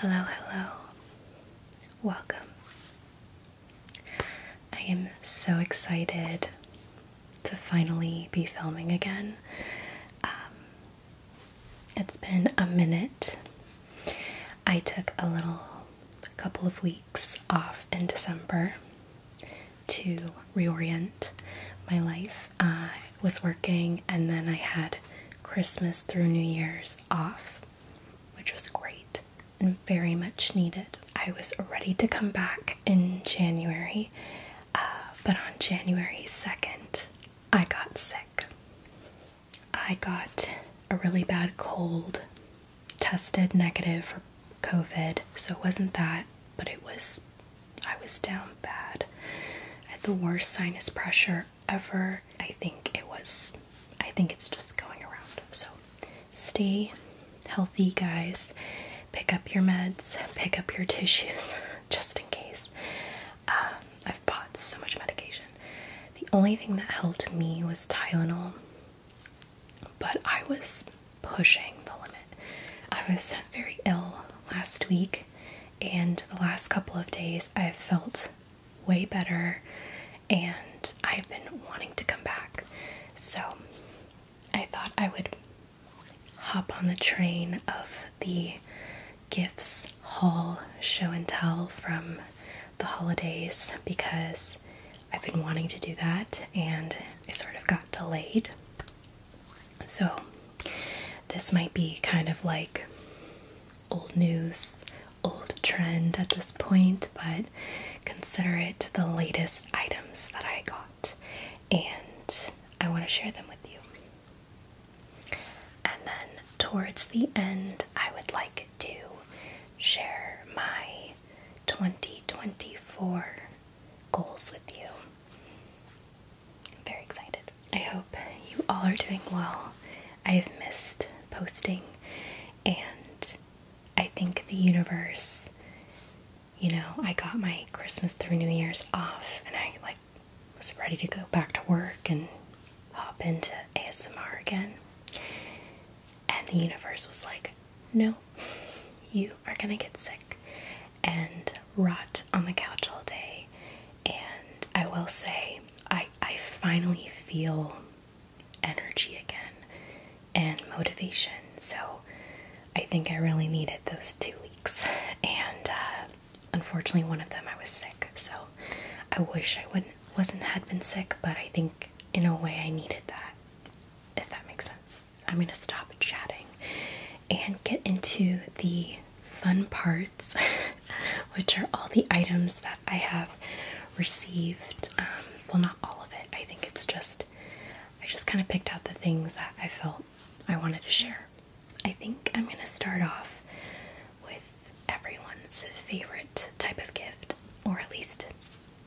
Hello, hello. Welcome. I am so excited to finally be filming again. Um, it's been a minute. I took a little a couple of weeks off in December to reorient my life was working, and then I had Christmas through New Year's off, which was great and very much needed. I was ready to come back in January, uh, but on January 2nd, I got sick. I got a really bad cold, tested negative for COVID, so it wasn't that, but it was I was down bad. had the worst sinus pressure ever. I think it was, I think it's just going around. So stay healthy, guys. Pick up your meds, pick up your tissues, just in case. Um, I've bought so much medication. The only thing that helped me was Tylenol, but I was pushing the limit. I was very ill last week and the last couple of days I've felt way better and I've been wanting to come back. So I thought I would hop on the train of the gifts haul show and tell from the holidays because I've been wanting to do that and it sort of got delayed. So this might be kind of like old news, old trend at this point, but consider it the latest items that I got, and I want to share them with you. And then towards the end, I would like to share my 2024 goals with you. I'm very excited. I hope you all are doing well. I have missed posting, and I think the universe, you know, I got my Christmas through New Year's off, and I like was ready to go back to work and hop into ASMR again. And the universe was like, no, you are gonna get sick and rot on the couch all day and I will say, I, I finally feel energy again and motivation. So I think I really needed those two weeks. And uh, unfortunately, one of them I was sick. So I wish I wouldn't wasn't had been sick, but I think in a way I needed that. If that makes sense. I'm gonna stop chatting and get into the fun parts, which are all the items that I have received. Um, well, not all of it. I think it's just, I just kind of picked out the things that I felt I wanted to share. I think I'm going to start off with everyone's favorite type of gift, or at least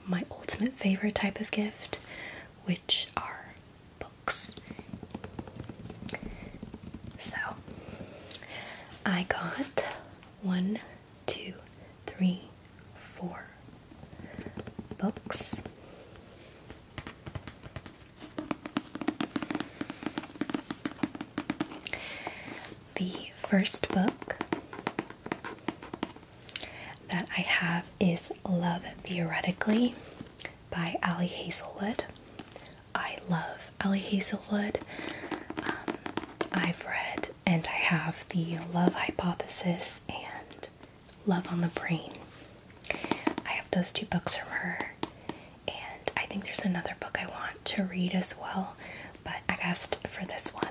my ultimate favorite type of gift, which are books. So I got one, two, three, four books. The first book that I have is Love Theoretically by Ali Hazelwood. I love Ellie Hazelwood. Um, I've read and I have The Love Hypothesis and Love on the Brain. I have those two books from her, and I think there's another book I want to read as well, but I guessed for this one.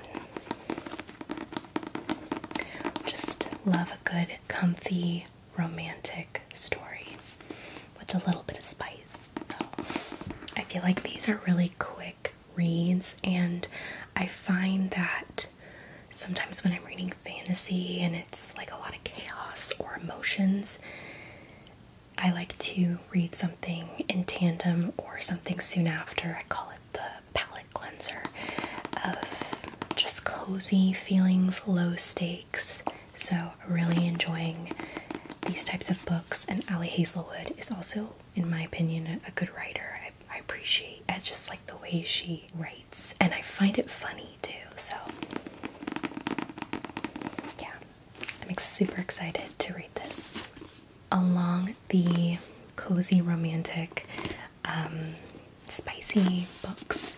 Just love a good, comfy romantic story with a little bit of spice. So I feel like these are really quick reads, and I find that sometimes when I'm reading fantasy and it's like a lot of chaos or emotions, I like to read something in tandem or something soon after. I call it the palette cleanser of just cozy feelings, low stakes. So, really enjoying these types of books. And Allie Hazelwood is also, in my opinion, a good writer. I, appreciate I just like the way she writes, and I find it funny too. So, yeah, I'm super excited to read this. Along the cozy, romantic, um, spicy books,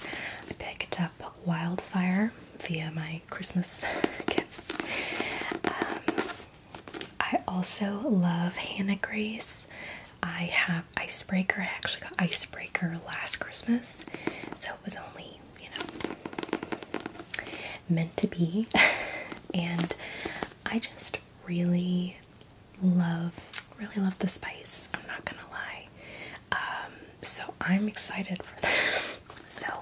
I picked up Wildfire via my Christmas gifts. Um, I also love Hannah Grace. I have Icebreaker. I actually got Icebreaker last Christmas, so it was only, you know, meant to be. and I just really love, really love the spice. I'm not gonna lie. Um, so I'm excited for this. so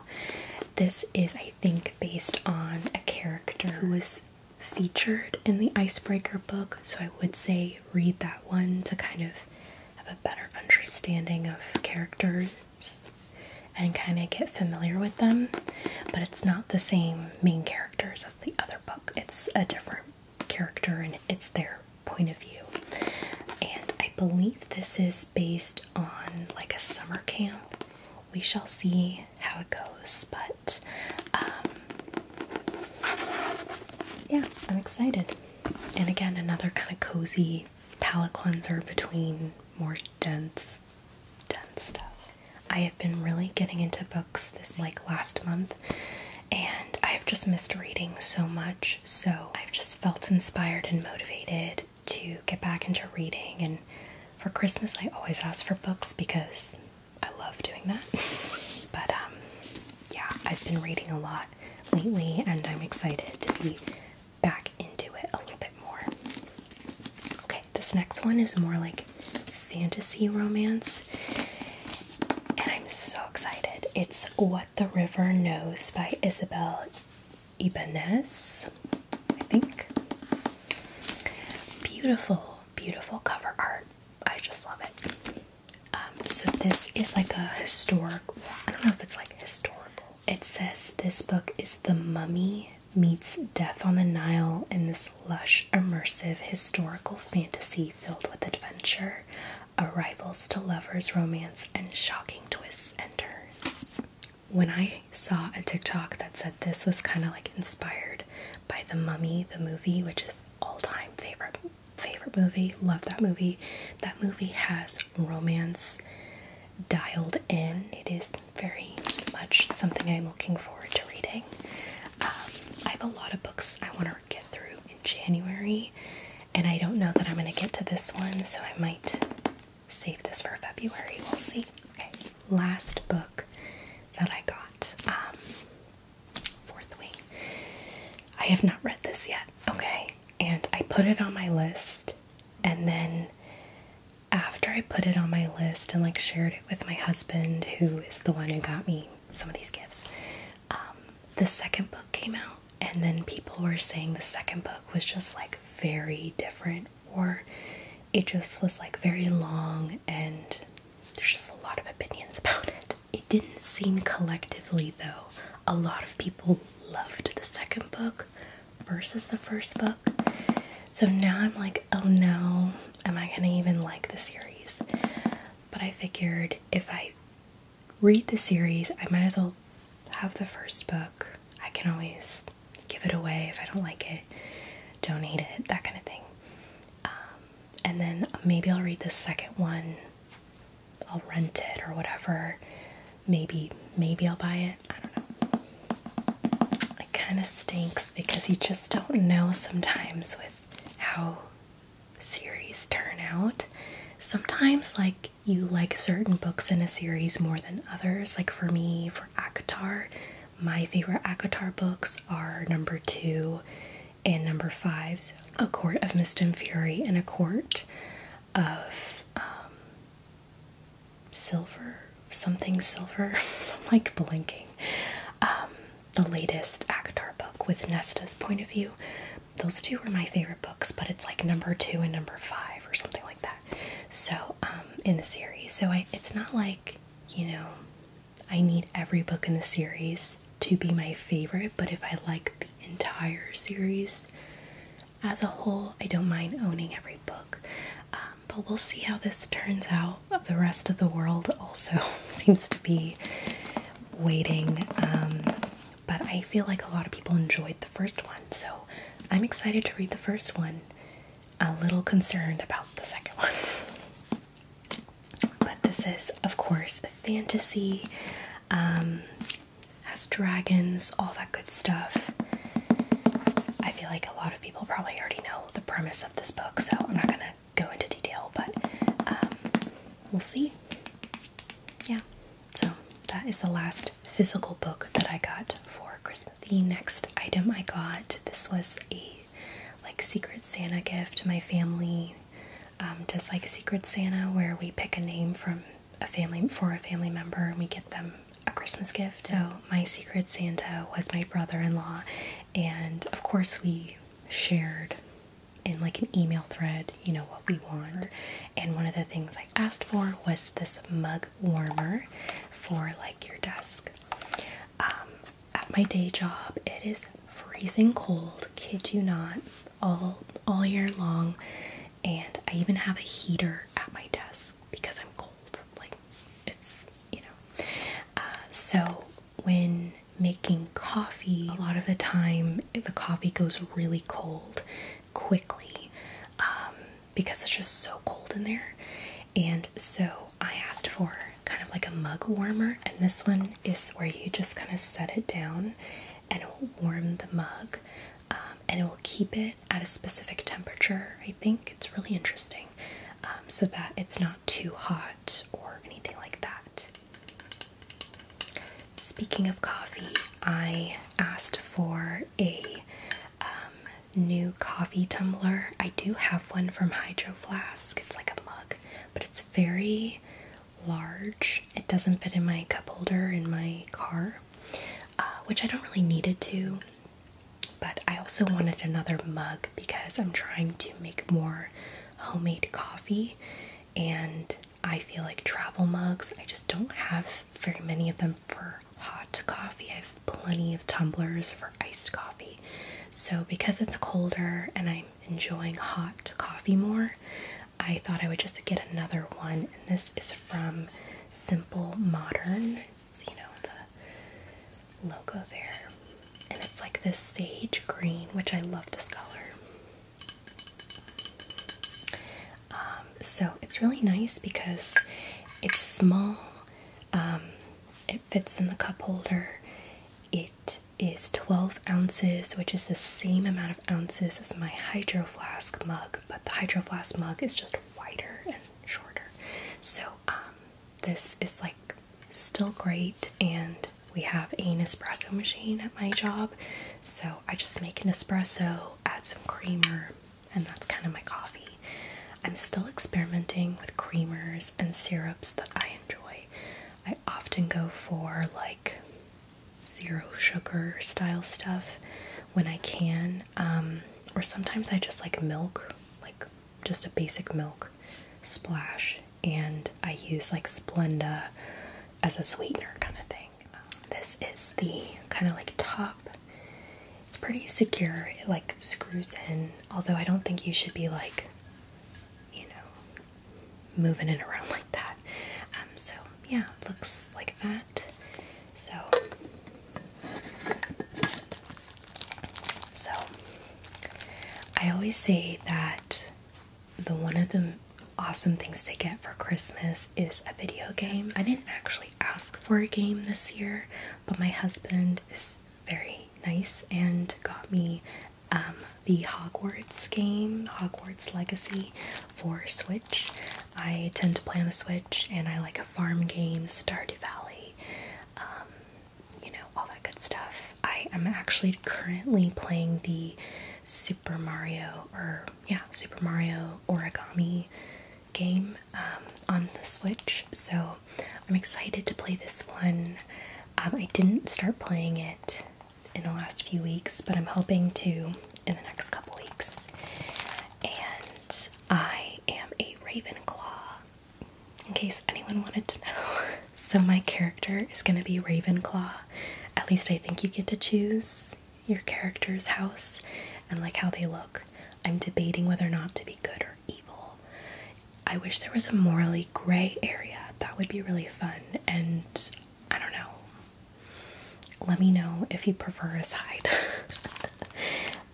this is, I think, based on a character who was featured in the Icebreaker book. So I would say read that one to kind of have a better understanding of characters and kind of get familiar with them. But it's not the same main characters as the other book. It's a different character and it's their point of view. And I believe this is based on like a summer camp. We shall see how it goes, but um, yeah, I'm excited. And again, another kind of cozy palette cleanser between more dense, dense stuff. I have been really getting into books this like last month, and I have just missed reading so much. So I've just felt inspired and motivated to get back into reading. And for Christmas, I always ask for books because I love doing that. but um, yeah, I've been reading a lot lately, and I'm excited to be back into it a little bit more. Okay, this next one is more like fantasy romance. And I'm so excited. It's What the River Knows by Isabel Ibanez, I think. Beautiful, beautiful cover art. I just love it. Um, so this is like a historic. I don't know if it's like historical. It says this book is the mummy meets death on the Nile in this lush, immersive historical fantasy filled with adventure, Arrivals to lovers romance, and shocking twists and turns. When I saw a TikTok that said this was kind of like inspired by The Mummy, the movie, which is all-time favorite favorite movie, love that movie. That movie has romance dialed in. It is very much something I'm looking forward to reading. Um, I have a lot of books I want to get through in January, and I don't know that I'm going to get to this one, so I might save this for February. We'll see. Okay, last book that I got, um, Fourth Wing. I have not read this yet, okay? And I put it on my list, and then after I put it on my list and like shared it with my husband, who is the one who got me some of these gifts, um, the second book came out, and then people were saying the second book was just like very different, or it just was like very long, and there's just a lot of opinions about it. It didn't seem collectively, though, a lot of people loved the second book versus the first book. So now I'm like, oh no, am I gonna even like the series? But I figured if I read the series. I might as well have the first book. I can always give it away if I don't like it, donate it, that kind of thing. Um, and then maybe I'll read the second one. I'll rent it or whatever. Maybe, maybe I'll buy it. I don't know. It kind of stinks because you just don't know sometimes with how series turn out. Sometimes, like, you like certain books in a series more than others. Like for me, for ACOTAR, my favorite ACOTAR books are number two and number five's A Court of Mist and Fury and A Court of um, Silver, something silver. I'm like blinking. Um, the latest ACOTAR book with Nesta's point of view those two were my favorite books, but it's like number two and number five or something like that. So, um, in the series. So, I, it's not like, you know, I need every book in the series to be my favorite, but if I like the entire series as a whole, I don't mind owning every book. Um, but we'll see how this turns out. The rest of the world also seems to be waiting um, but I feel like a lot of people enjoyed the first one, so I'm excited to read the first one. A little concerned about the second one. But this is, of course, fantasy, um, has dragons, all that good stuff. I feel like a lot of people probably already know the premise of this book, so I'm not gonna go into detail, but um, we'll see yeah, so that is the last physical book that I got for Christmas. The next item I got, this was a like Secret Santa gift. My family um, does like Secret Santa where we pick a name from a family for a family member and we get them a Christmas gift. So my Secret Santa was my brother-in-law and of course we shared in like an email thread you know, what we want. And one of the things I asked for was this mug warmer for like your desk. Um, at my day job, it is freezing cold, kid you not, all all year long. And I even have a heater at my desk because I'm cold. Like it's, you know. Uh, so when making coffee, a lot of the time the coffee goes really cold quickly um, because it's just so cold in there. And so I asked for kind of like a mug warmer, and this one is where you just kind of set it down and it will warm the mug um, and it will keep it at a specific temperature. I think it's really interesting um, so that it's not too hot or anything like that. Speaking of coffee, I asked for a um, new coffee tumbler. I do have one from Hydro Flask. It's like a mug, but it's very large. It doesn't fit in my cup holder in my car, uh, which I don't really need it to. But I also wanted another mug because I'm trying to make more homemade coffee and I feel like travel mugs. I just don't have very many of them for hot coffee. I have plenty of tumblers for iced coffee. So, because it's colder and I'm enjoying hot coffee more, I thought I would just get another one. And this is from Simple Modern. you know, the logo there. And it's like this sage green, which I love this color. Um, so it's really nice because it's small, um, it fits in the cup holder, it is 12 ounces, which is the same amount of ounces as my Hydro Flask mug, but the Hydro Flask mug is just wider and shorter. So, um, this is like still great, and we have an espresso machine at my job, so I just make an espresso add some creamer, and that's kind of my coffee. I'm still experimenting with creamers and syrups that I enjoy. I often go for like zero sugar style stuff when I can, um, or sometimes I just like milk, like just a basic milk splash, and I use like Splenda as a sweetener kind of thing this is the kind of like top. It's pretty secure. It like screws in. Although I don't think you should be like, you know, moving it around like that. Um, so yeah, looks like that. So, so I always say that the one of the awesome things to get for Christmas is a video game. I didn't actually ask for a game this year, but my husband is very nice and got me um, the Hogwarts game, Hogwarts Legacy for Switch. I tend to play on the Switch and I like a farm game, Stardew Valley, um, you know, all that good stuff. I am actually currently playing the Super Mario, or yeah, Super Mario origami game um, on the Switch, so I'm excited to play this one. Um, I didn't start playing it in the last few weeks, but I'm hoping to in the next couple weeks. And I am a Ravenclaw, in case anyone wanted to know. so, my character is going to be Ravenclaw. At least I think you get to choose your character's house and like how they look. I'm debating whether or not to be good or evil. I wish there was a morally gray area. That would be really fun. And I don't know. Let me know if you prefer a side.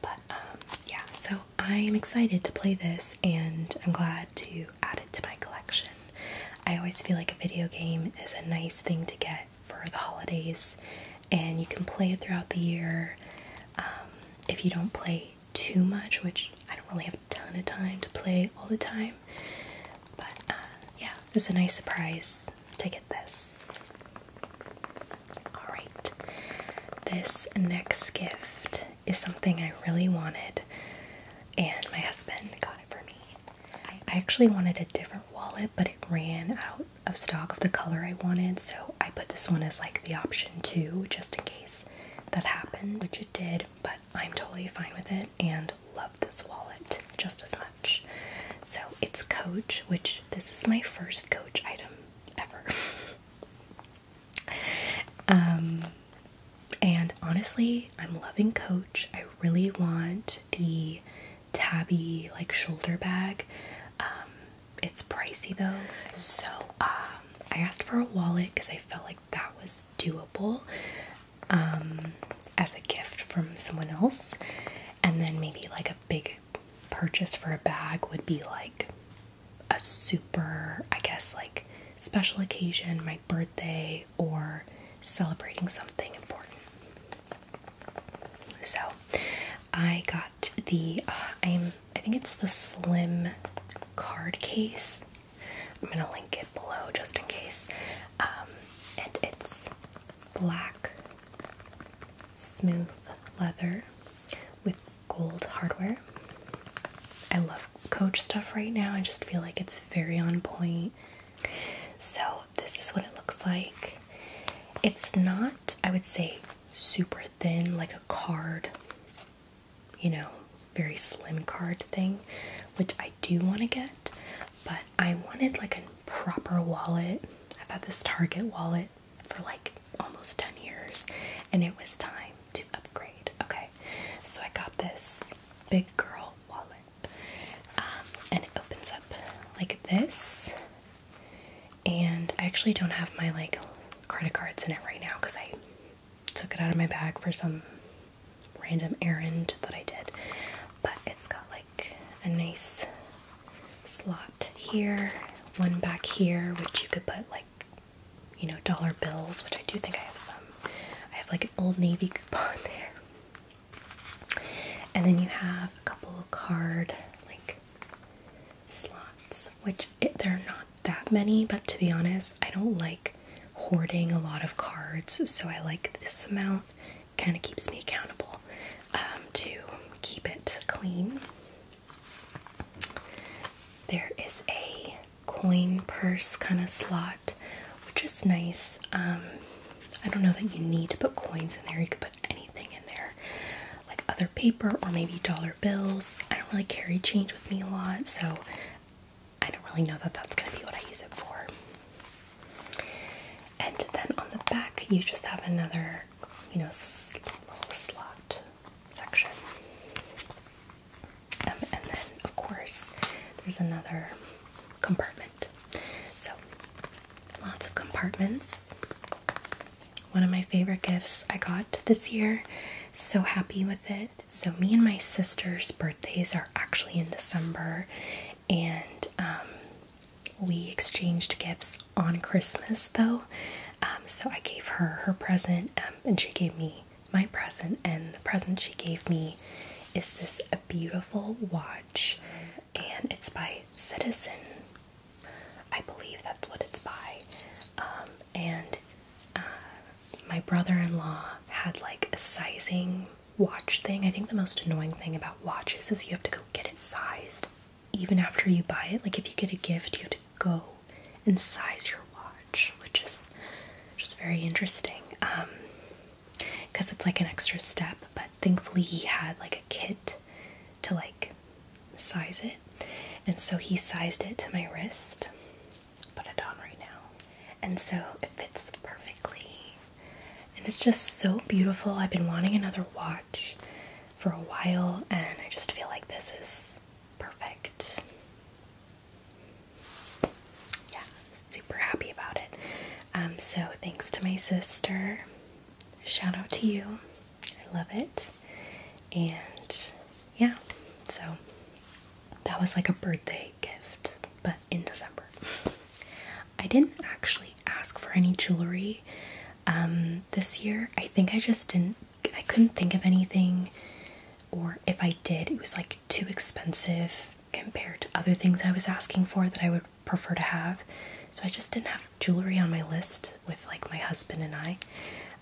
but um, yeah, so I'm excited to play this and I'm glad to add it to my collection. I always feel like a video game is a nice thing to get for the holidays, and you can play it throughout the year. Um, if you don't play too much, which I don't really have a ton of time to play all the time, but uh, yeah, it's a nice surprise to get this. Alright, this next gift is something I really wanted, and my husband got it for me. I actually wanted a different wallet, but it ran out of stock of the color I wanted, so I put this one as like the option two, just in case that happened, which it did, but I'm totally fine with it and love this wallet just as much. So it's Coach, which this is my first Coach item ever. um, and honestly, I'm loving Coach. I really want the tabby like shoulder bag. Um, it's pricey though, so um, I asked for a wallet because I felt like that was doable um, as a gift from someone else, and then maybe like a big purchase for a bag would be like a super, I guess, like special occasion, my birthday, or celebrating something important. So I got the uh, I'm I think it's the slim card case. I'm gonna link it below just in case. Um, and it's black smooth leather with gold hardware. I love Coach stuff right now. I just feel like it's very on point. So this is what it looks like. It's not, I would say, super thin, like a card, you know, very slim card thing, which I do want to get, but I wanted like a proper wallet. I've had this Target wallet for like almost 10 years, and it was time to upgrade. Okay, so I got this big girl wallet. Um, and it opens up like this. And I actually don't have my like credit cards in it right now because I took it out of my bag for some random errand that I did. But it's got like a nice slot here, one back here, which you could put like, you know, dollar bills, which I do think I have some. I have like an old navy coupon there. And then you have a couple of card like slots, which they are not that many, but to be honest, I don't like hoarding a lot of cards, so I like this amount. Kind of keeps me accountable um, to keep it clean. There is a coin purse kind of slot, which is nice. Um, I don't know that you need to put coins in there, you could put any anything in there like other paper or maybe dollar bills. I don't really carry change with me a lot, so I don't really know that that's going to be what I use it for. And then on the back, you just have another, you know, little slot section. Um, and then, of course, there's another compartment so, lots of compartments. One of my favorite gifts I got this year. So happy with it. So, me and my sister's birthdays are actually in December, and um, we exchanged gifts on Christmas though. Um, so, I gave her her present, um, and she gave me my present, and the present she gave me is this a beautiful watch and it's by Citizen. I believe that's what it's by. Um, and uh, my brother in law had like a sizing watch thing. I think the most annoying thing about watches is you have to go get it sized even after you buy it. Like if you get a gift, you have to go and size your watch, which is just very interesting because um, it's like an extra step. But thankfully he had like a kit to like size it and so he sized it to my wrist put it on right now and so it fits perfectly and it's just so beautiful i've been wanting another watch for a while and i just feel like this is perfect yeah super happy about it um so thanks to my sister shout out to you. I love it. And yeah, so that was like a birthday gift, but in December. I didn't actually ask for any jewelry um, this year. I think I just didn't, I couldn't think of anything, or if I did, it was like too expensive compared to other things I was asking for that I would prefer to have. So I just didn't have jewelry on my list with like my husband and I.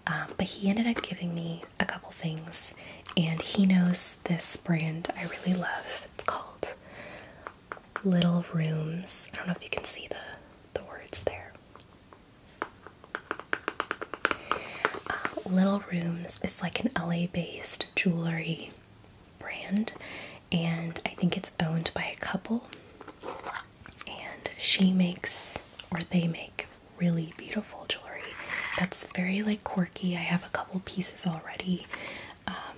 Um, but he ended up giving me a couple things, and he knows this brand I really love. It's called Little Rooms. I don't know if you can see the, the words there. Uh, Little Rooms is like an LA based jewelry brand, and I think it's owned by a couple. And she makes, or they make, really beautiful jewelry that's very like quirky. I have a couple pieces already. Um,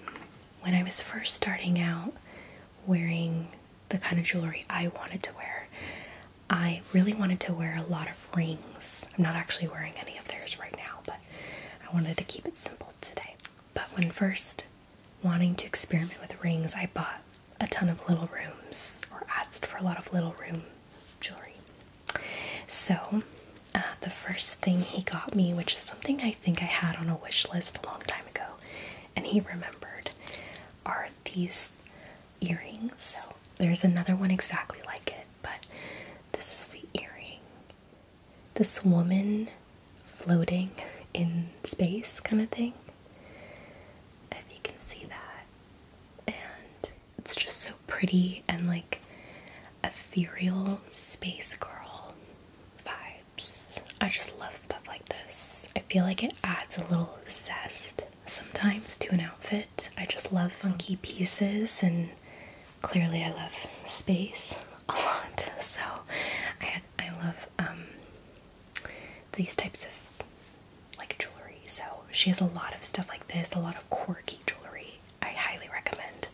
when I was first starting out wearing the kind of jewelry I wanted to wear, I really wanted to wear a lot of rings. I'm not actually wearing any of theirs right now, but I wanted to keep it simple today. But when first wanting to experiment with rings, I bought a ton of little rooms or asked for a lot of little room jewelry. So, uh, the first thing he got me, which is something I think I had on a wish list a long time ago, and he remembered, are these earrings. there's another one exactly like it, but this is the earring this woman floating in space kind of thing. If you can see that. And it's just so pretty and like ethereal space girl vibes. I just love stuff like this. I feel like it adds a little zest sometimes to an outfit. I just love funky pieces and clearly I love space a lot. So I had I love um, these types of like jewelry. So she has a lot of stuff like this, a lot of quirky jewelry. I highly recommend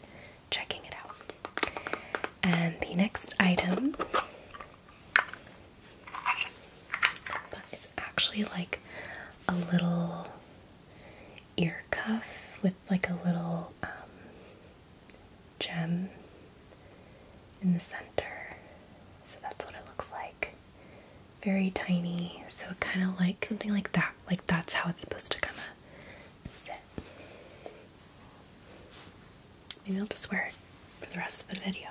checking it out. And the next item it's actually like a little ear cuff with like a little um, gem in the center. So that's what it looks like. Very tiny, so kind of like something like that. Like that's how it's supposed to kind of sit. Maybe I'll just wear it for the rest of the video.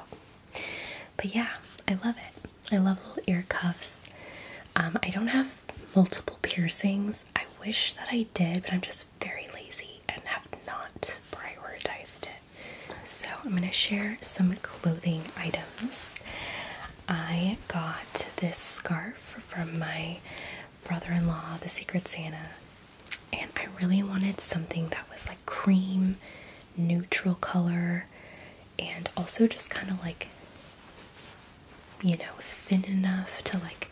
But yeah, I love it. I love little ear cuffs. Um, I don't have multiple piercings. I wish that I did, but I'm just very lazy and have not prioritized it. So, I'm going to share some clothing items. I got this scarf from my brother in law, the Secret Santa, and I really wanted something that was like cream, neutral color, and also just kind of like, you know, thin enough to like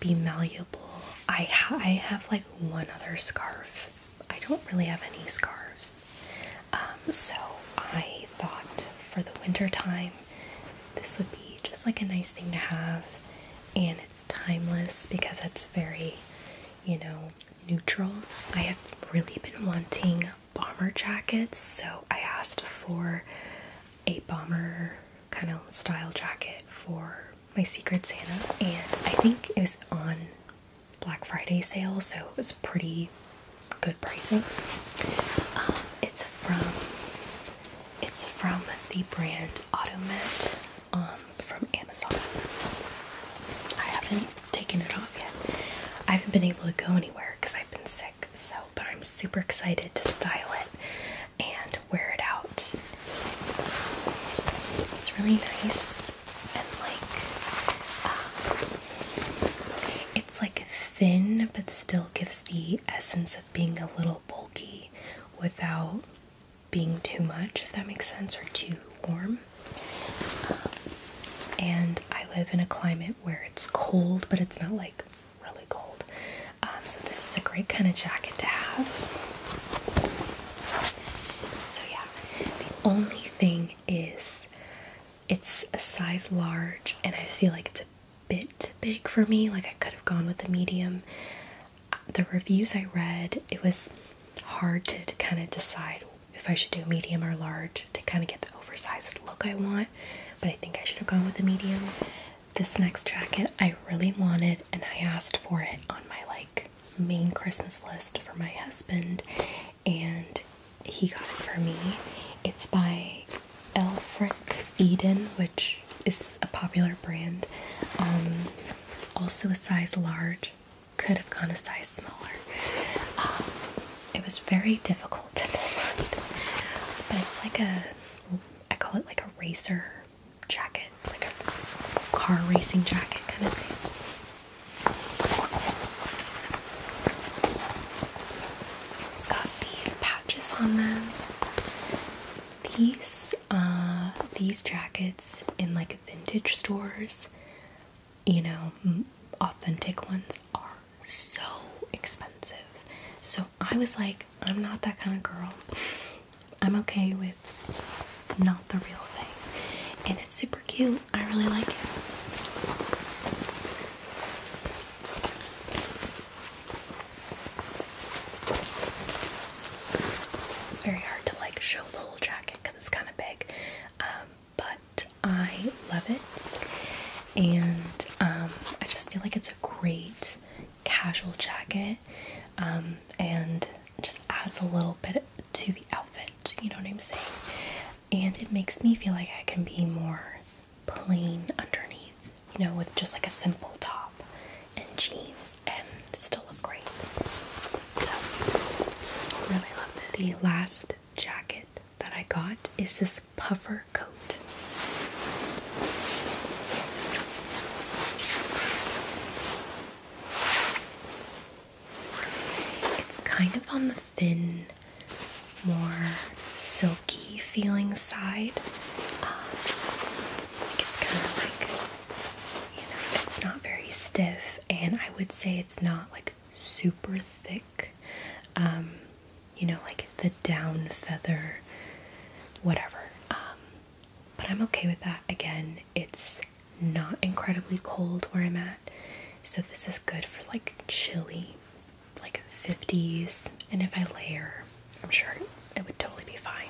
be malleable. I ha I have like one other scarf. I don't really have any scarves. Um, so I thought for the winter time this would be just like a nice thing to have and it's timeless because it's very, you know, neutral. I have really been wanting bomber jackets, so I asked for a bomber kind of style jacket for my Secret Santa, and I think it was on Black Friday sale, so it was pretty good pricing. Um, it's from it's from the brand Automat um, from Amazon. I haven't taken it off yet. I haven't been able to go anywhere because I've been sick. So, but I'm super excited to style it and wear it out. It's really nice and like um, it's like thin but still gives the essence of being a little bulky without being too much, if that makes sense, or too warm. Um, and I live in a climate where it's cold, but it's not like really cold. Um, so this is a great kind of jacket to have. So yeah, the only thing is it's a size large and I feel like it's a bit big for me. Like I could have gone with a medium. The reviews I read, it was hard to kind of decide if I should do medium or large to kind of get the oversized look I want, but I think I should have gone with a medium. This next jacket I really wanted, and I asked for it on my like main Christmas list for my husband, and he got it for me. It's by Elfric Eden, which is a popular brand. Um, also a size large, could have gone a size smaller. Um, it was very difficult to decide, but it's like a I call it like a racer jacket, like a car racing jacket kind of thing. It's got these patches on them. These uh these jackets in like vintage stores, you know, authentic ones are so expensive. So I was like, I'm not that kind of girl. I'm okay with not the real thing. And it's super cute. I really like it. It's very hard to like show the whole jacket because it's kind of big. Um, but I love it. And um, I just feel like it's a great casual jacket um, and just adds a little bit to the outfit, you know what I'm saying? And it makes me feel like I can be more plain underneath, you know, with just like a simple top and jeans and still look great. So, really love this. The last jacket that I got is this puffer coat. It's kind of on the thin, more silky feeling side. Um, it's kind of like, you know, it's not very stiff, and I would say it's not like super thick. Um, you know, like the down feather, whatever. Um, but I'm okay with that. Again, it's not incredibly cold where I'm at, so this is good for like chilly, like 50s. And if I layer, I'm sure it would totally be fine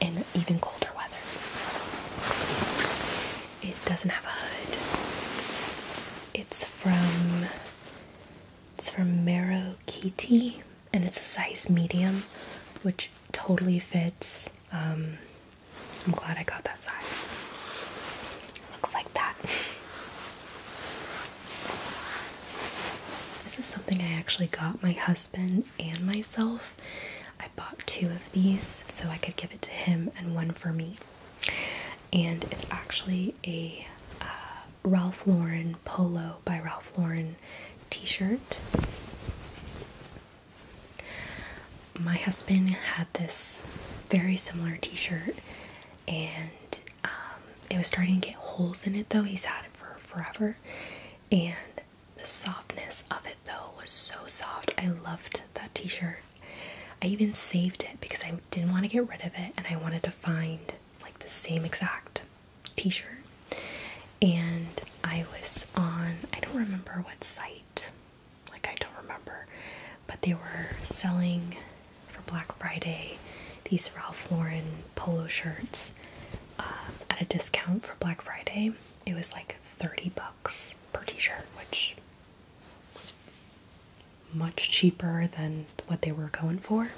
in even colder weather. It doesn't have a hood. It's from it's from Marrow Kitty and it's a size medium, which totally fits. Um, I'm glad I got that size. Looks like that. This is something I actually got my husband and myself. I bought two of these so I could give it to him and one for me. And it's actually a uh, Ralph Lauren polo by Ralph Lauren t-shirt. My husband had this very similar t-shirt and um, it was starting to get holes in it though. He's had it for forever and the softness of it though was so soft. I loved that t-shirt. I even saved it because I didn't want to get rid of it and I wanted to find like the same exact t-shirt and I was on I don't remember what site like I don't remember but they were selling for Black Friday these Ralph Lauren polo shirts uh, at a discount for Black Friday it was like 30 bucks per t-shirt which was much cheaper than what they were going for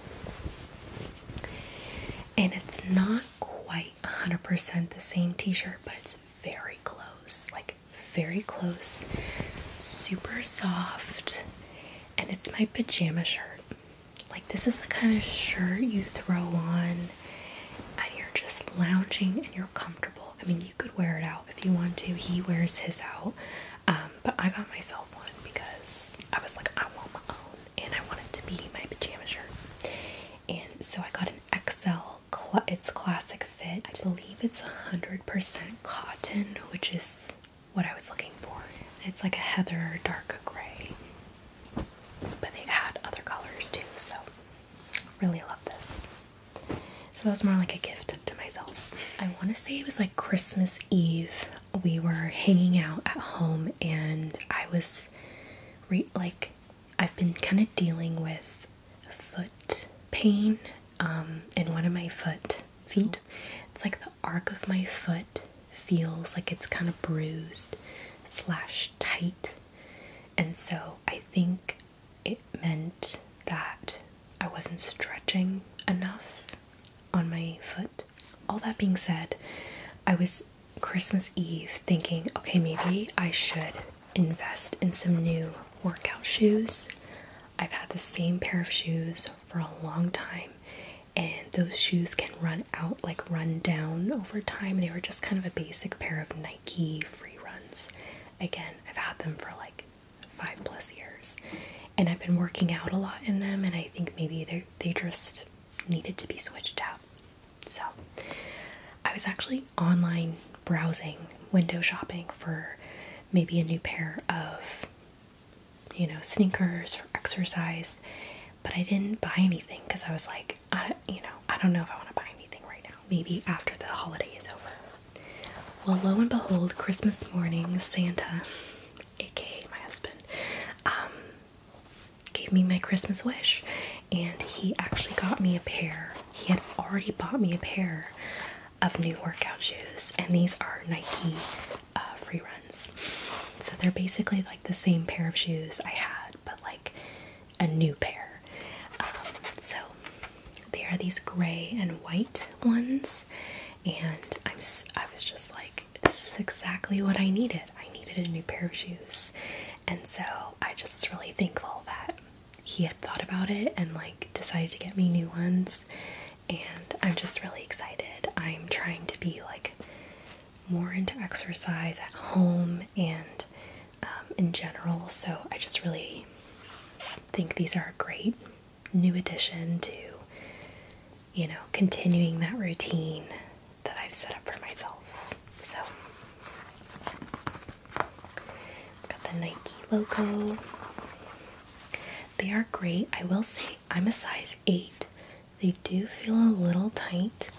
and it's not quite quite 100% the same t shirt, but it's very close like, very close, super soft, and it's my pajama shirt. Like, this is the kind of shirt you throw on and you're just lounging and you're comfortable. I mean, you could wear it out if you want to. He wears his out. Um, but I got myself one because I was like, I want my own and I want it to be my pajama shirt. And so I got an XL, it's classic fit. I believe it's 100% cotton, which is what I was looking for. It's like a heather dark gray, but they had other colors too, so really love this. So that was more like a gift to myself. I want to say it was like Christmas Eve. We were hanging out at home and I was like I've been kind of dealing with foot pain um, in one of my foot feet. It's like the arc of my foot feels like it's kind of bruised slash tight, and so I think it meant that I wasn't stretching enough on my foot. All that being said, I was Christmas Eve thinking, okay, maybe I should invest in some new workout shoes. I've had the same pair of shoes for a long time, and those shoes can run out, like run down over time. They were just kind of a basic pair of Nike free runs. Again, I've had them for like five plus years, and I've been working out a lot in them, and I think maybe they they just needed to be switched out. So I was actually online browsing, window shopping for maybe a new pair of, you know, sneakers for exercise, but I didn't buy anything because I was like, I, you know, I don't know if I want to buy anything right now. Maybe after the holiday is over. Well, lo and behold, Christmas morning, Santa, aka my husband, um, gave me my Christmas wish, and he actually got me a pair. He had already bought me a pair of new workout shoes, and these are Nike uh, free runs. So they're basically like the same pair of shoes I had, but like a new pair. Um, so they are these gray and white ones, and I'm I was just like, this is exactly what I needed. I needed a new pair of shoes. And so I just was really thankful that he had thought about it and like decided to get me new ones. And I'm just really excited. I'm trying to be like more into exercise at home and um, in general. So I just really think these are a great new addition to, you know, continuing that routine that I've set up for myself. So, it got the Nike logo. They are great. I will say I'm a size 8. They do feel a little tight.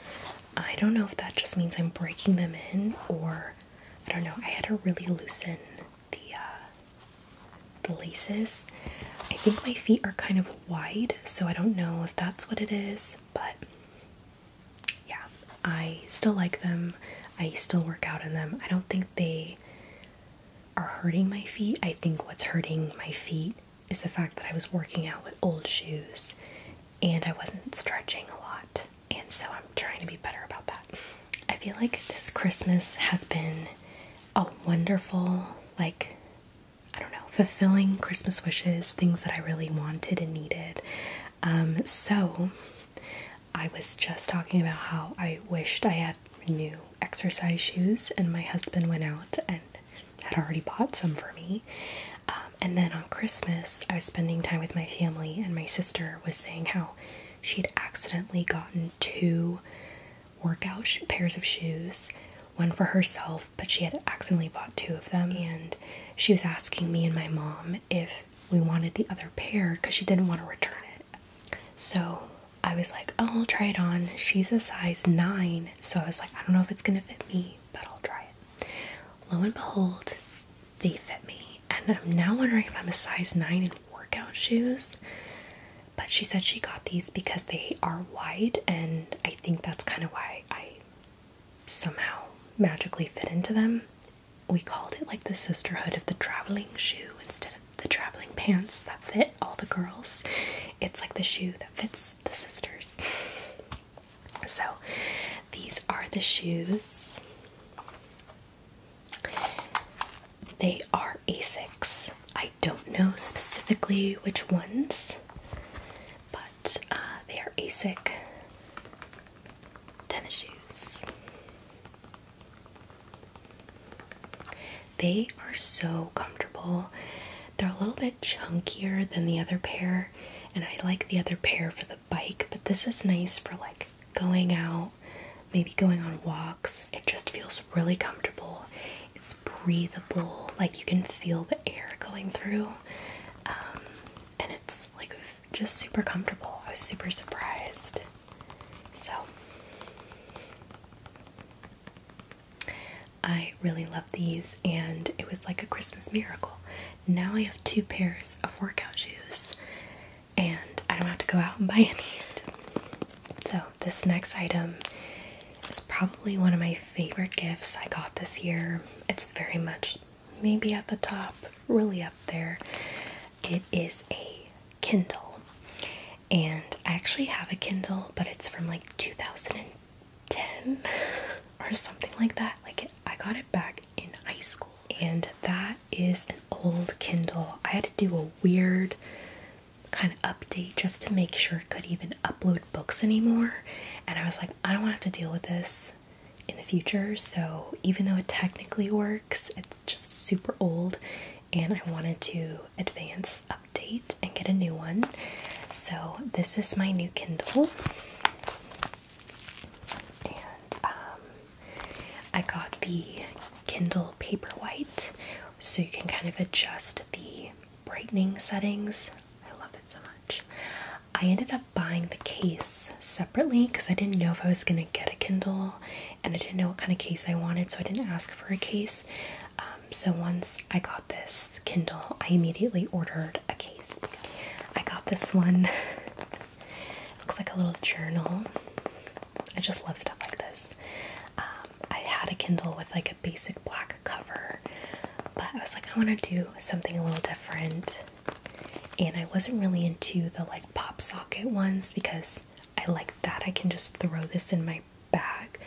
I don't know if that just means I'm breaking them in or I don't know. I had to really loosen the uh, the laces. I think my feet are kind of wide, so I don't know if that's what it is, but yeah, I still like them. I still work out in them. I don't think they are hurting my feet. I think what's hurting my feet is the fact that I was working out with old shoes and I wasn't stretching a lot. And so I'm trying to be better about that. I feel like this Christmas has been a wonderful, like, I don't know, fulfilling Christmas wishes, things that I really wanted and needed. Um, so I was just talking about how I wished I had new exercise shoes, and my husband went out and had already bought some for me. Um, and then on Christmas, I was spending time with my family, and my sister was saying how she had accidentally gotten two workout pairs of shoes one for herself but she had accidentally bought two of them, and she was asking me and my mom if we wanted the other pair because she didn't want to return it. So I was like, Oh, I'll try it on. She's a size nine, so I was like, I don't know if it's gonna fit me, but I'll try it. Lo and behold, they fit me, and I'm now wondering if I'm a size nine in workout shoes. But she said she got these because they are wide, and I think that's kind of why I somehow magically fit into them. We called it like the sisterhood of the traveling shoe instead of the traveling pants that fit all the girls. It's like the shoe that fits the sisters. so these are the shoes. They are ASICs. I don't know specifically which ones but uh, they are ASIC tennis shoes. They are so comfortable. They're a little bit chunkier than the other pair, and I like the other pair for the bike, but this is nice for like going out, maybe going on walks. It just feels really comfortable. It's breathable, like you can feel the air going through. Um, and it's like just super comfortable. I was super surprised. So I really love these, and it was like a Christmas miracle. Now I have two pairs of workout shoes, and I don't have to go out and buy any. So, this next item is probably one of my favorite gifts I got this year. It's very much maybe at the top, really up there. It is a Kindle. And I actually have a Kindle, but it's from like 2010 or something like that. Like I got it back in high school. And that is an old Kindle. I had to do a weird kind of update just to make sure it could even upload books anymore. And I was like, I don't want to have to deal with this in the future, so even though it technically works, it's just super old, and I wanted to advance update and get a new one. So, this is my new Kindle, and um, I got the Kindle Paperwhite, so you can kind of adjust the brightening settings I love it so much. I ended up buying the case separately because I didn't know if I was going to get a Kindle and I didn't know what kind of case I wanted, so I didn't ask for a case. Um, so once I got this Kindle, I immediately ordered a case. I got this one. Looks like a little journal. I just love stuff like this. Um, I had a Kindle with like a basic black cover but I was like, I want to do something a little different. And I wasn't really into the like pop socket ones because I like that. I can just throw this in my bag,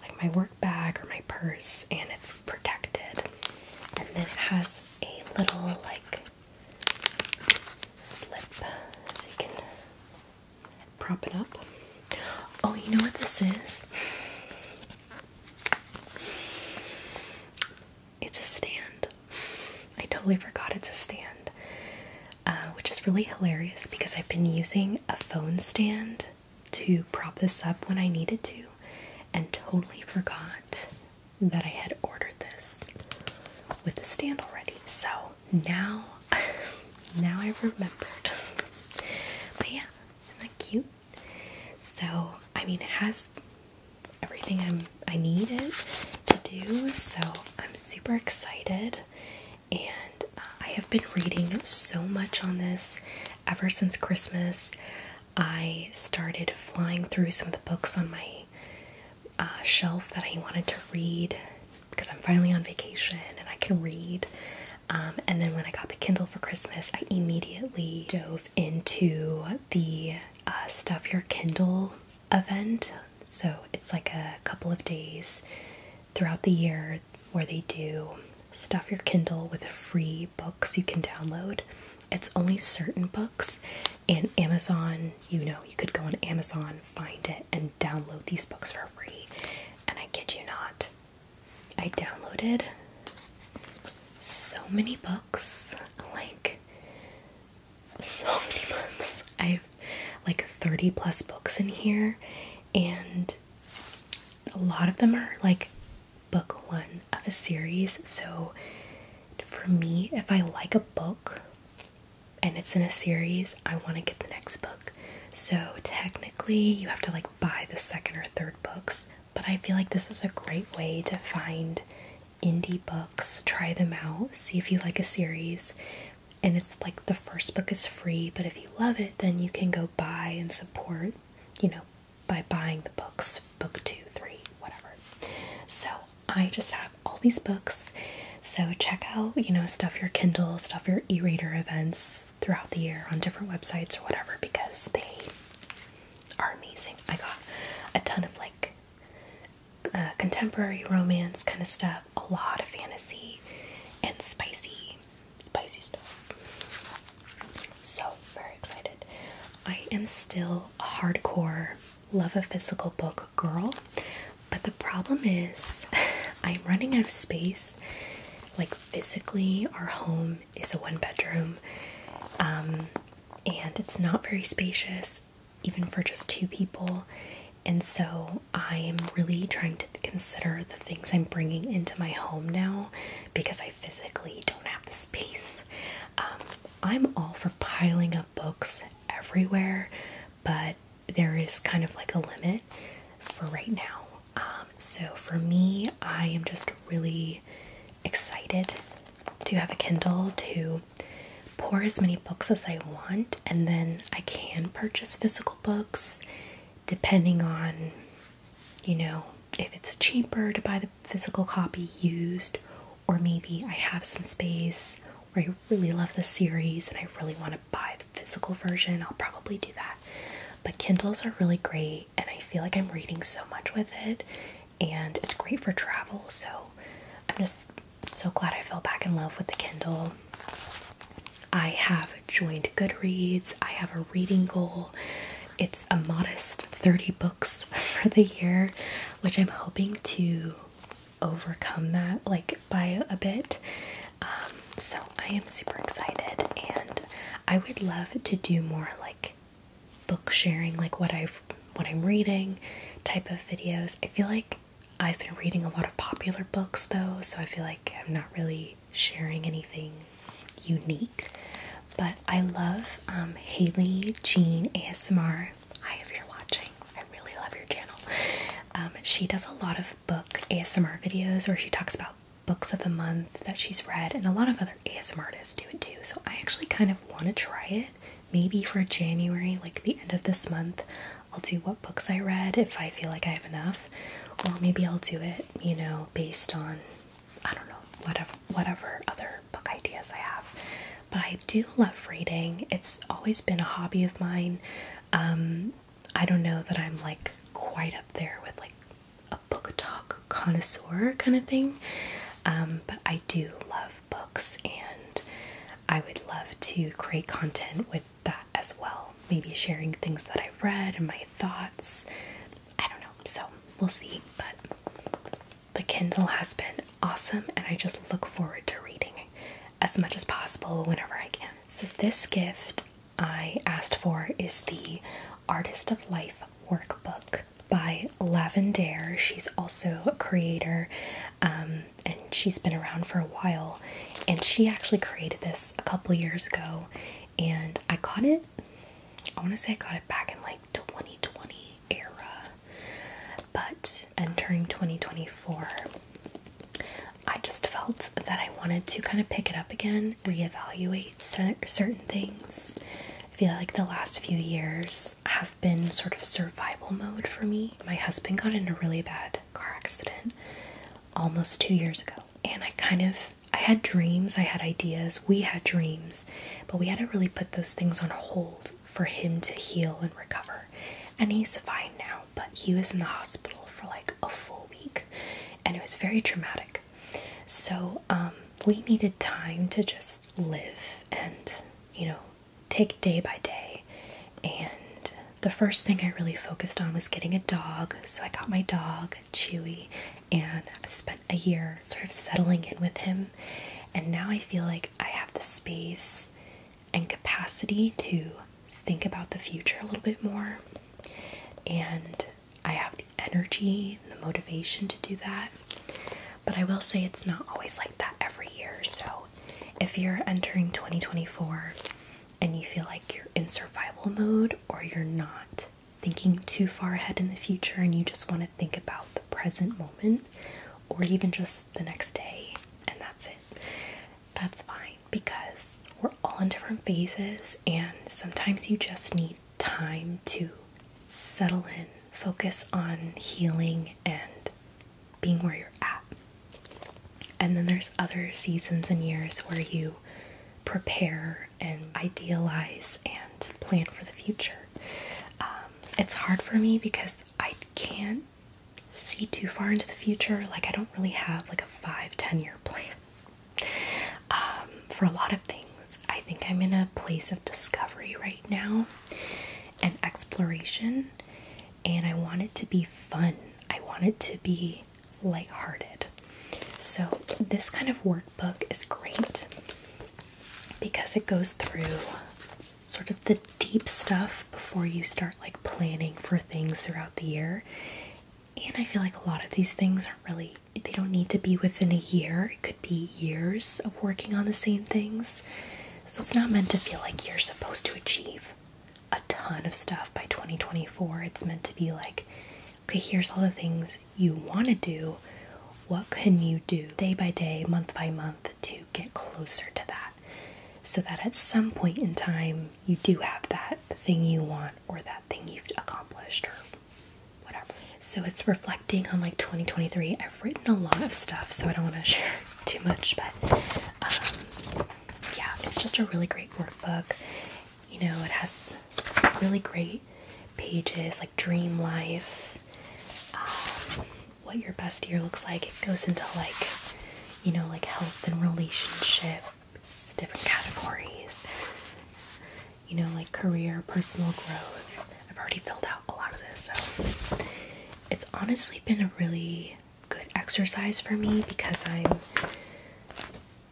like my work bag or my purse, and it's protected. And then it has a little like slip so you can prop it up. Oh, you know what this is? It's a stand. I totally forgot it's a stand, uh, which is really hilarious because I've been using a phone stand to prop this up when I needed to and totally forgot that I had ordered this with the stand already. So now, now I remembered. But yeah, isn't that cute? So, I mean, it has everything I'm I need it to do. So, I'm super excited, and uh, I have been reading so much on this ever since Christmas. I started flying through some of the books on my uh, shelf that I wanted to read because I'm finally on vacation and I can read. Um, and then when I got the Kindle for Christmas, I immediately dove into the uh, Stuff Your Kindle event. So it's like a couple of days throughout the year where they do Stuff Your Kindle with free books you can download. It's only certain books, and Amazon, you know, you could go on Amazon, find it, and download these books for free. And I kid you not, I downloaded so many books like so many books. I've like 30 plus books in here, and a lot of them are like book one of a series. So, for me, if I like a book and it's in a series, I want to get the next book. So, technically, you have to like buy the second or third books, but I feel like this is a great way to find indie books, try them out, see if you like a series. And it's like the first book is free, but if you love it, then you can go buy and support, you know, by buying the books, book two, three, whatever. So I just have all these books. So check out, you know, stuff your Kindle, stuff your e-reader events throughout the year on different websites or whatever because they are amazing. I got a ton of like uh, contemporary romance kind of stuff, a lot of fantasy, and spicy, spicy stuff. So very excited. I am still a hardcore love a physical book girl, but the problem is I'm running out of space. Like physically, our home is a one bedroom. Um, and it's not very spacious, even for just two people. And so I am really trying to consider the things I'm bringing into my home now because I physically don't have the space. Um, I'm all for piling up books everywhere, but there is kind of like a limit for right now. Um, so for me, I am just really excited to have a Kindle to pour as many books as I want, and then I can purchase physical books depending on, you know, if it's cheaper to buy the physical copy used, or maybe I have some space or I really love the series and I really want to buy the physical version, I'll probably do that. But Kindles are really great and I feel like I'm reading so much with it and it's great for travel so I'm just so glad I fell back in love with the Kindle. I have joined Goodreads. I have a reading goal. It's a modest 30 books for the year, which I'm hoping to overcome that like by a bit. Um, so I am super excited and I would love to do more like book sharing, like what I've what I'm reading type of videos. I feel like I've been reading a lot of popular books though, so I feel like I'm not really sharing anything unique. But I love um, Haley Jean ASMR. Hi, if you're watching, I really love your channel. Um, she does a lot of book ASMR videos where she talks about books of the month that she's read, and a lot of other ASMR artists do it too. So I actually kind of want to try it. Maybe for January, like the end of this month, I'll do what books I read if I feel like I have enough, or maybe I'll do it, you know, based on I don't know whatever whatever other book ideas I have. But I do love reading. It's always been a hobby of mine. Um, I don't know that I'm like quite up there with like book talk connoisseur kind of thing, um, but I do love books and I would love to create content with that as well. Maybe sharing things that I've read and my thoughts. I don't know, so we'll see. But the Kindle has been awesome and I just look forward to reading as much as possible whenever I can. So, this gift I asked for is the Artist of Life workbook by Lavender. She's also a creator um, and she's been around for a while. And she actually created this a couple years ago. And I got it, I want to say I got it back in like 2020 era. But entering 2024, I just felt that I wanted to kind of pick it up again, reevaluate certain things, I feel like the last few years have been sort of survival mode for me. My husband got in a really bad car accident almost two years ago, and I kind of I had dreams, I had ideas, we had dreams, but we had to really put those things on hold for him to heal and recover. And he's fine now, but he was in the hospital for like a full week and it was very traumatic. So um, we needed time to just live and, you know, take day by day. And the first thing I really focused on was getting a dog. So I got my dog, Chewy, and I spent a year sort of settling in with him. And now I feel like I have the space and capacity to think about the future a little bit more. And I have energy the motivation to do that. But I will say it's not always like that every year. So if you're entering 2024 and you feel like you're in survival mode or you're not thinking too far ahead in the future and you just want to think about the present moment or even just the next day and that's it, that's fine because we're all in different phases and sometimes you just need time to settle in, focus on healing and being where you're at. And then there's other seasons and years where you prepare and idealize and plan for the future. Um, it's hard for me because I can't see too far into the future. Like, I don't really have like a five, ten year plan um, for a lot of things. I think I'm in a place of discovery right now and exploration, and I want it to be fun. I want it to be light-hearted. So, this kind of workbook is great because it goes through sort of the deep stuff before you start like planning for things throughout the year. And I feel like a lot of these things aren't really they don't need to be within a year, it could be years of working on the same things. So it's not meant to feel like you're supposed to achieve a ton of stuff by 2024. It's meant to be like, okay, here's all the things you want to do. What can you do day by day, month by month to get closer to that? So that at some point in time, you do have that thing you want or that thing you've accomplished so it's reflecting on like 2023. I've written a lot of stuff, so I don't want to share too much, but um, yeah, it's just a really great workbook. You know, it has really great pages like dream life, um, what your best year looks like. It goes into like, you know, like health and relationship different categories you know, like career, personal growth. I've already filled out a lot of this, so it's honestly been a really good exercise for me because I'm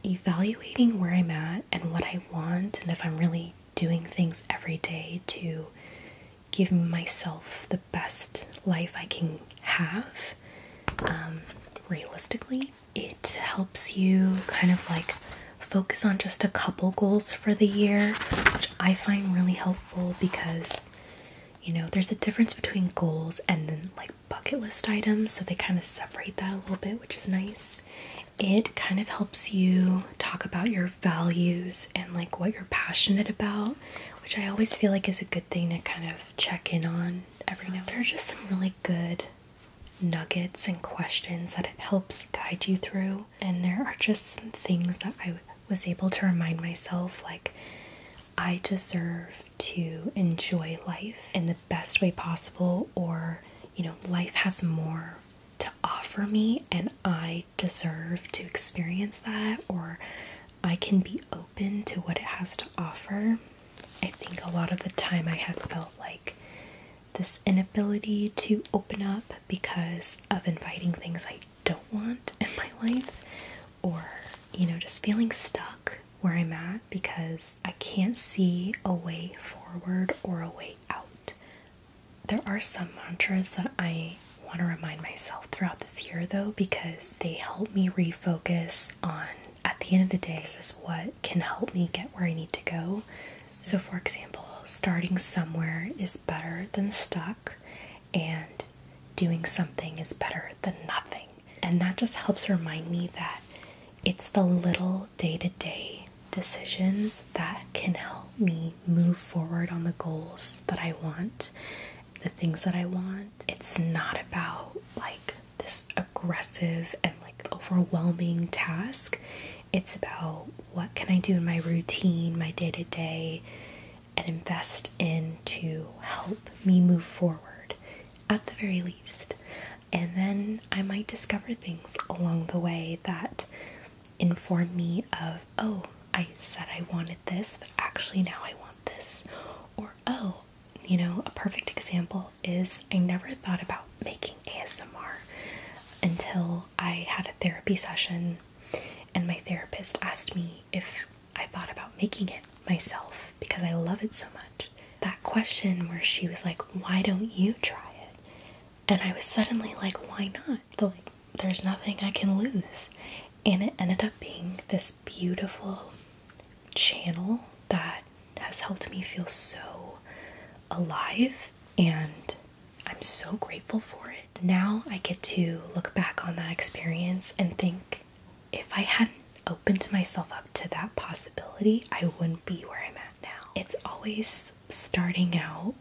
evaluating where I'm at and what I want, and if I'm really doing things every day to give myself the best life I can have. Um, realistically, it helps you kind of like focus on just a couple goals for the year, which I find really helpful because you know there's a difference between goals and then like bucket list items, so they kind of separate that a little bit, which is nice. It kind of helps you talk about your values and like what you're passionate about, which I always feel like is a good thing to kind of check in on every now. There are just some really good nuggets and questions that it helps guide you through and there are just some things that I was able to remind myself like, I deserve to enjoy life in the best way possible, or, you know, life has more to offer me, and I deserve to experience that, or I can be open to what it has to offer. I think a lot of the time I have felt like this inability to open up because of inviting things I don't want in my life, or you know, just feeling stuck where I'm at because I can't see a way forward or a way out. There are some mantras that I want to remind myself throughout this year though because they help me refocus on at the end of the day, this is what can help me get where I need to go. So, for example, starting somewhere is better than stuck, and doing something is better than nothing. And that just helps remind me that it's the little day to day decisions that can help me move forward on the goals that I want, the things that I want. It's not about like this aggressive and like overwhelming task. It's about what can I do in my routine, my day to day, and invest in to help me move forward at the very least. And then I might discover things along the way that inform me of, oh, I said I wanted this, but actually now I want this. Or, oh, you know, a perfect example is I never thought about making ASMR until I had therapy session, and my therapist asked me if I thought about making it myself because I love it so much. That question, where she was like, Why don't you try it? And I was suddenly like, Why not? The, like, There's nothing I can lose. And it ended up being this beautiful channel that has helped me feel so alive and I'm so grateful for it. Now I get to look back on that experience and think if I hadn't opened myself up to that possibility, I wouldn't be where I'm at now. It's always starting out,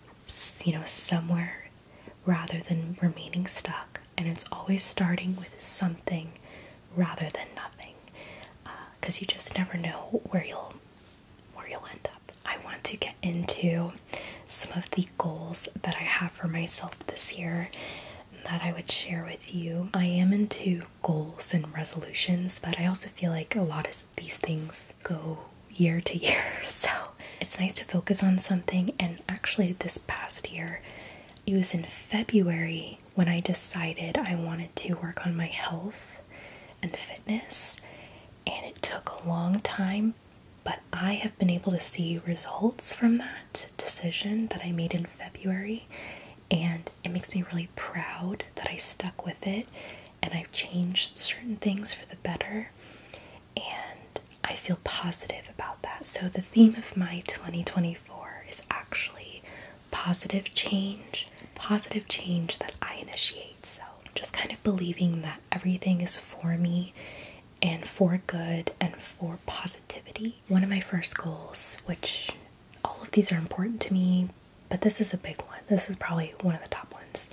you know, somewhere rather than remaining stuck, and it's always starting with something rather than nothing because uh, you just never know where you'll where you'll end up. I want to get into some of the goals that I have for myself this year that I would share with you. I am into goals and resolutions, but I also feel like a lot of these things go year to year. So it's nice to focus on something. And actually, this past year, it was in February when I decided I wanted to work on my health and fitness and it took a long time, but I have been able to see results from that decision that I made in February, and it makes me really proud that I stuck with it and I've changed certain things for the better, and I feel positive about that. So, the theme of my 2024 is actually positive change, positive change that I initiate. So, just kind of believing that everything is for me and for good and for positivity. One of my first goals, which all of these are important to me, but this is a big one. This is probably one of the top ones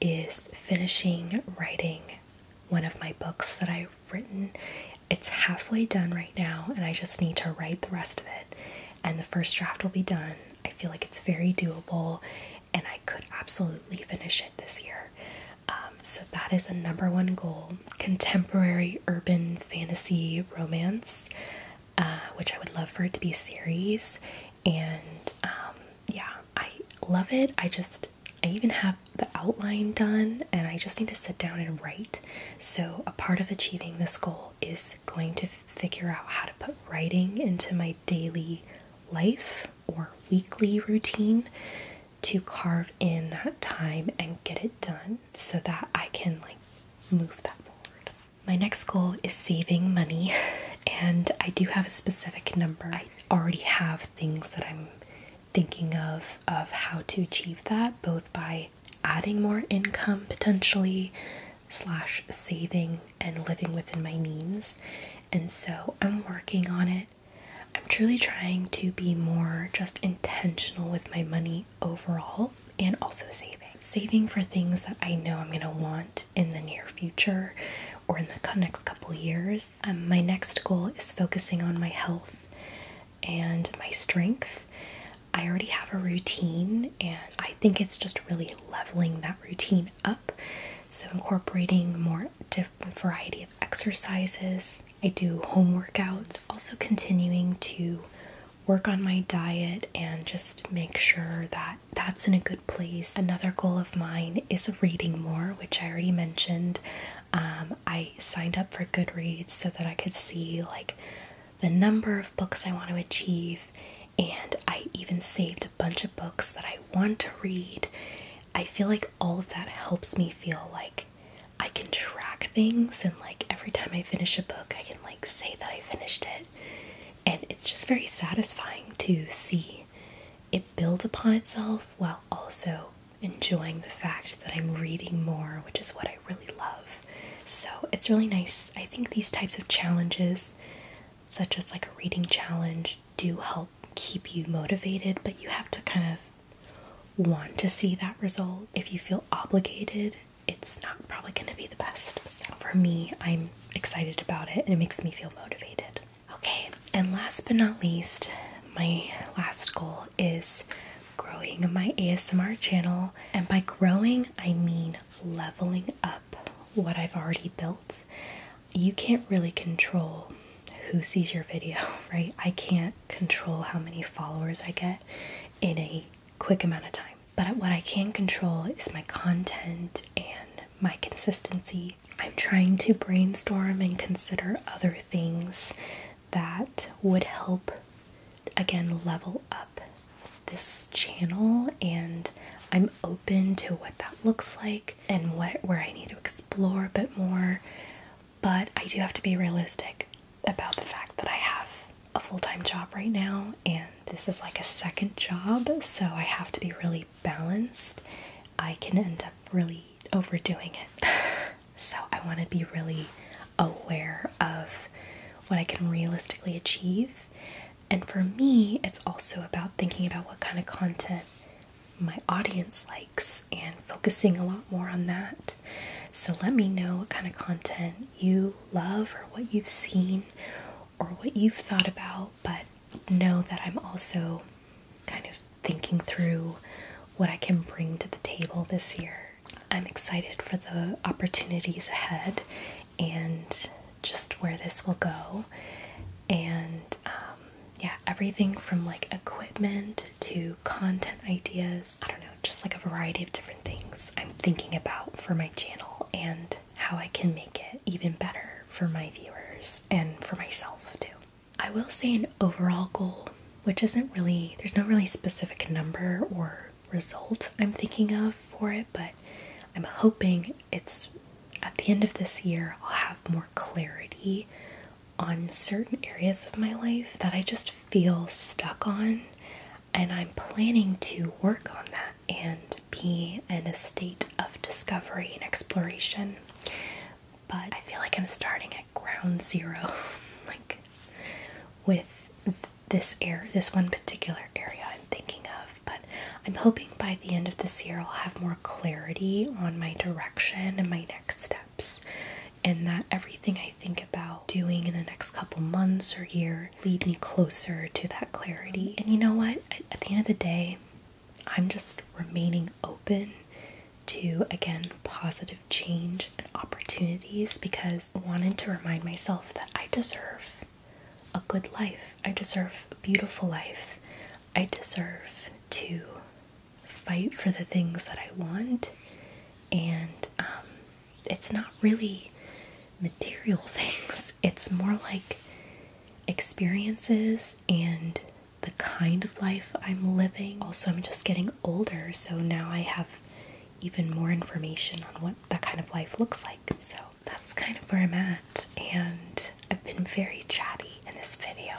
is finishing writing one of my books that I've written. It's halfway done right now and I just need to write the rest of it and the first draft will be done. I feel like it's very doable and I could absolutely finish it this year. Um, so that is a number one goal contemporary urban fantasy romance, uh, which I would love for it to be a series. And um, yeah, I love it. I just, I even have the outline done and I just need to sit down and write. So, a part of achieving this goal is going to figure out how to put writing into my daily life or weekly routine to carve in that time and get it done so that I can like move that forward. My next goal is saving money, and I do have a specific number. I already have things that I'm thinking of of how to achieve that both by adding more income potentially slash saving and living within my means. And so I'm working on it. I'm truly trying to be more just intentional with my money overall and also saving. Saving for things that I know I'm going to want in the near future or in the next couple years. Um, my next goal is focusing on my health and my strength. I already have a routine, and I think it's just really leveling that routine up so, incorporating more different variety of exercises. I do home workouts, also continuing to work on my diet and just make sure that that's in a good place. Another goal of mine is reading more, which I already mentioned. Um, I signed up for Goodreads so that I could see like the number of books I want to achieve, and I even saved bunch of books that I want to read. I feel like all of that helps me feel like I can track things and like every time I finish a book, I can like say that I finished it. And it's just very satisfying to see it build upon itself while also enjoying the fact that I'm reading more, which is what I really love. So it's really nice. I think these types of challenges, such as like a reading challenge, do help keep you motivated, but you have to kind of want to see that result. If you feel obligated, it's not probably going to be the best. So for me, I'm excited about it and it makes me feel motivated. Okay, and last but not least, my last goal is growing my ASMR channel. And by growing, I mean leveling up what I've already built you can't really control who sees your video, right? I can't control how many followers I get in a quick amount of time. But what I can control is my content and my consistency. I'm trying to brainstorm and consider other things that would help, again, level up this channel. And I'm open to what that looks like and what where I need to explore a bit more. But I do have to be realistic about the fact that I have a full-time job right now and this is like a second job, so I have to be really balanced. I can end up really overdoing it. so I want to be really aware of what I can realistically achieve and for me, it's also about thinking about what kind of content my audience likes and focusing a lot more on that. So let me know what kind of content you love or what you've seen or what you've thought about, but know that I'm also kind of thinking through what I can bring to the table this year. I'm excited for the opportunities ahead and just where this will go. And um, yeah, everything from like equipment to content ideas. I don't know, just like a variety of different things I'm thinking about for my channel and how I can make it even better for my viewers and for myself too. I will say an overall goal, which isn't really, there's no really specific number or result I'm thinking of for it, but I'm hoping it's at the end of this year, I'll have more clarity on certain areas of my life that I just feel stuck on, and I'm planning to work on that and be in a state of discovery and exploration. But I feel like I'm starting at ground zero, like with this air, this one particular area I'm thinking of. But I'm hoping by the end of this year I'll have more clarity on my direction and my next steps, and that everything I think about doing in the next couple months or year lead me closer to that clarity. And you know what? At the end of the day, I'm just remaining open to again positive change and opportunities because I wanted to remind myself that I deserve a good life. I deserve a beautiful life. I deserve to fight for the things that I want, and um, it's not really material things, it's more like experiences and the kind of life I'm living. Also, I'm just getting older, so now I have even more information on what that kind of life looks like. So, that's kind of where I'm at, and I've been very chatty in this video,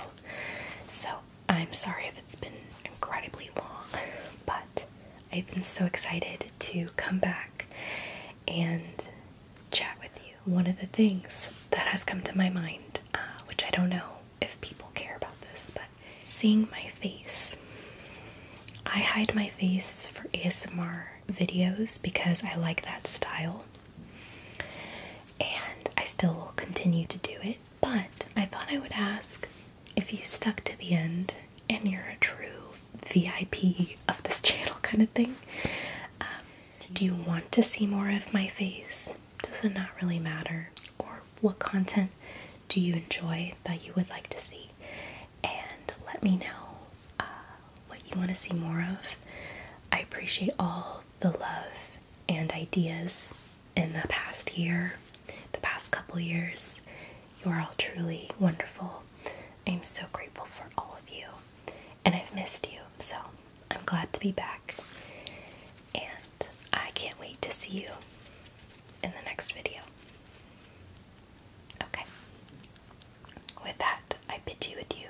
so I'm sorry if it's been incredibly long, but I've been so excited to come back and chat with you. One of the things that has come to my mind, uh, which I don't know if people care about this, but seeing my face. I hide my face for ASMR videos because I like that style. And I still will continue to do it, but I thought I would ask if you stuck to the end and you're a true VIP of this channel kind of thing. Um, do you want to see more of my face? Does it not really matter? Or what content do you enjoy that you would like to see? And let me know. Uh, what you want to see more of. I appreciate all the love and ideas in the past year, the past couple years. You are all truly wonderful. I'm so grateful for all of you, and I've missed you, so I'm glad to be back. And I can't wait to see you in the next video. Okay. With that, I bid you adieu,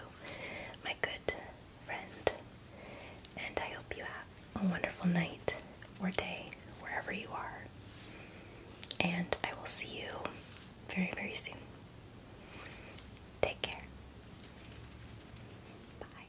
my good friend. And I hope you have a wonderful night or day, wherever you are. And I will see you very, very soon. Take care. Bye.